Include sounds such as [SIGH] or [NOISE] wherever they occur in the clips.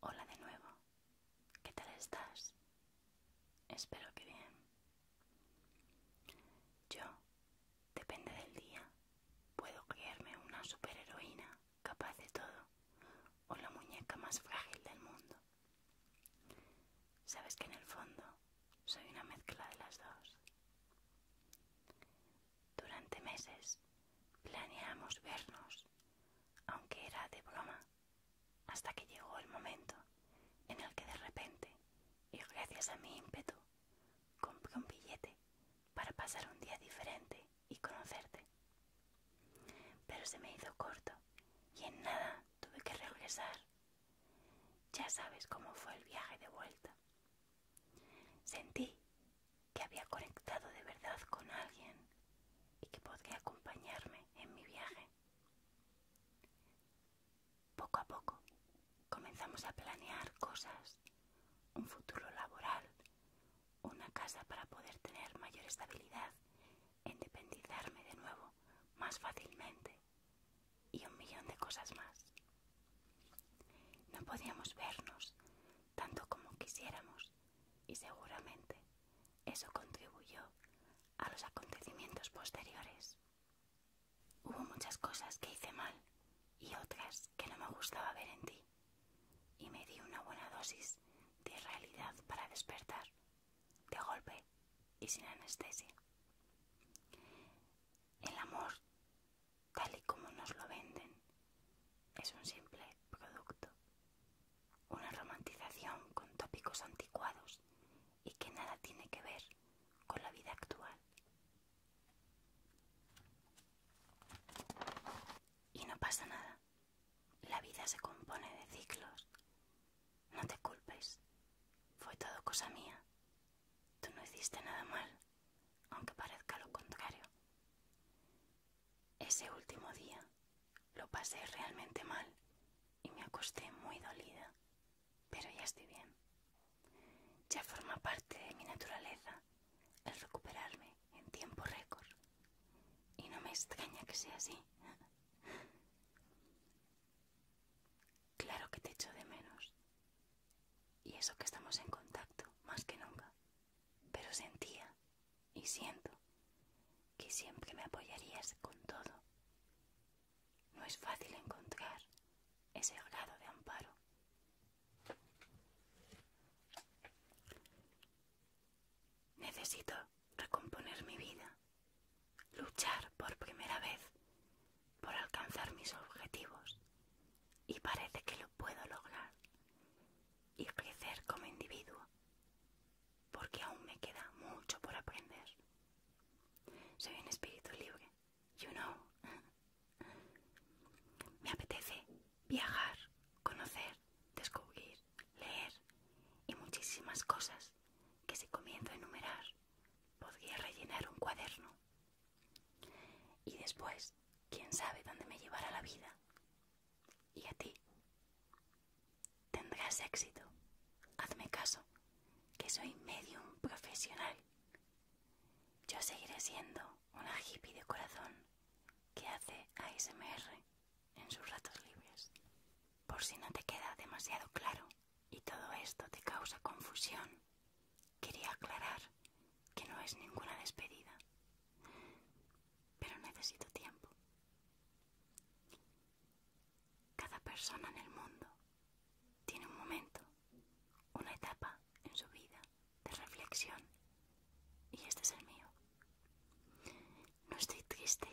Hola de nuevo. ¿Qué tal estás? Espero que bien. Yo, depende del día, puedo creerme una superheroína capaz de todo o la muñeca más frágil del mundo. Sabes que en el fondo soy una mezcla de las dos. Durante meses planeamos vernos, aunque era de broma, hasta que llegó el momento en el que de repente, y gracias a mi ímpetu, compré un billete para pasar un día diferente y conocerte. Pero se me hizo corto y en nada tuve que regresar ya sabes cómo fue el viaje de vuelta. Sentí que había conectado de verdad con alguien y que podía acompañarme en mi viaje. Poco a poco comenzamos a planear cosas, un futuro laboral, una casa para poder tener mayor estabilidad, e independizarme de nuevo más fácilmente y un millón de cosas más. No podíamos vernos tanto como quisiéramos y seguramente eso contribuyó a los acontecimientos posteriores. Hubo muchas cosas que hice mal y otras que no me gustaba ver en ti y me di una buena dosis de realidad para despertar de golpe y sin anestesia. El amor, tal y como nos lo venden, es un simple producto, una romantización con tópicos anticuados y que nada tiene que ver con la vida actual. Y no pasa nada. La vida se compone de ciclos no te culpes. Fue todo cosa mía. Tú no hiciste nada mal, aunque parezca lo contrario. Ese último día lo pasé realmente mal y me acosté muy dolida, pero ya estoy bien. Ya forma parte de mi naturaleza el recuperarme en tiempo récord. Y no me extraña que sea así. Claro que te echo de menos. Y eso que estamos en contacto, más que nunca. Pero sentía y siento que siempre me apoyarías con todo. No es fácil encontrar ese grado de amparo. Necesito recomponer mi vida, luchar por primera vez por alcanzar mis objetivos y parece que lo puedo lograr y crecer como individuo porque aún me queda mucho por aprender. Soy un espíritu libre, you know. [LAUGHS] me apetece viajar, conocer descubrir, leer y muchísimas cosas que si comienzo a enumerar podría rellenar un cuaderno. Y después, quién sabe dónde me llevará la vida. Y a ti. Tendrás éxito. Hazme caso, que soy medium profesional. Yo seguiré siendo una hippie de corazón que hace ASMR en sus ratos libres. Por si no te queda demasiado claro y todo esto te causa confusión, quería aclarar que no es ninguna despedida, pero necesito tiempo. Cada persona en el mundo tiene un momento, una etapa en su vida de reflexión y este es el mío. No estoy triste,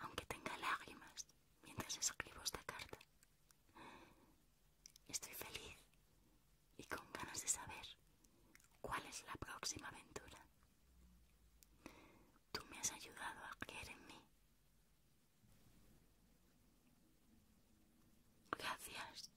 aunque tenga lágrimas mientras escribo esta carta. Estoy feliz y con ganas de saber cuál es la próxima aventura. Tú me has ayudado a creer en mí. Gracias.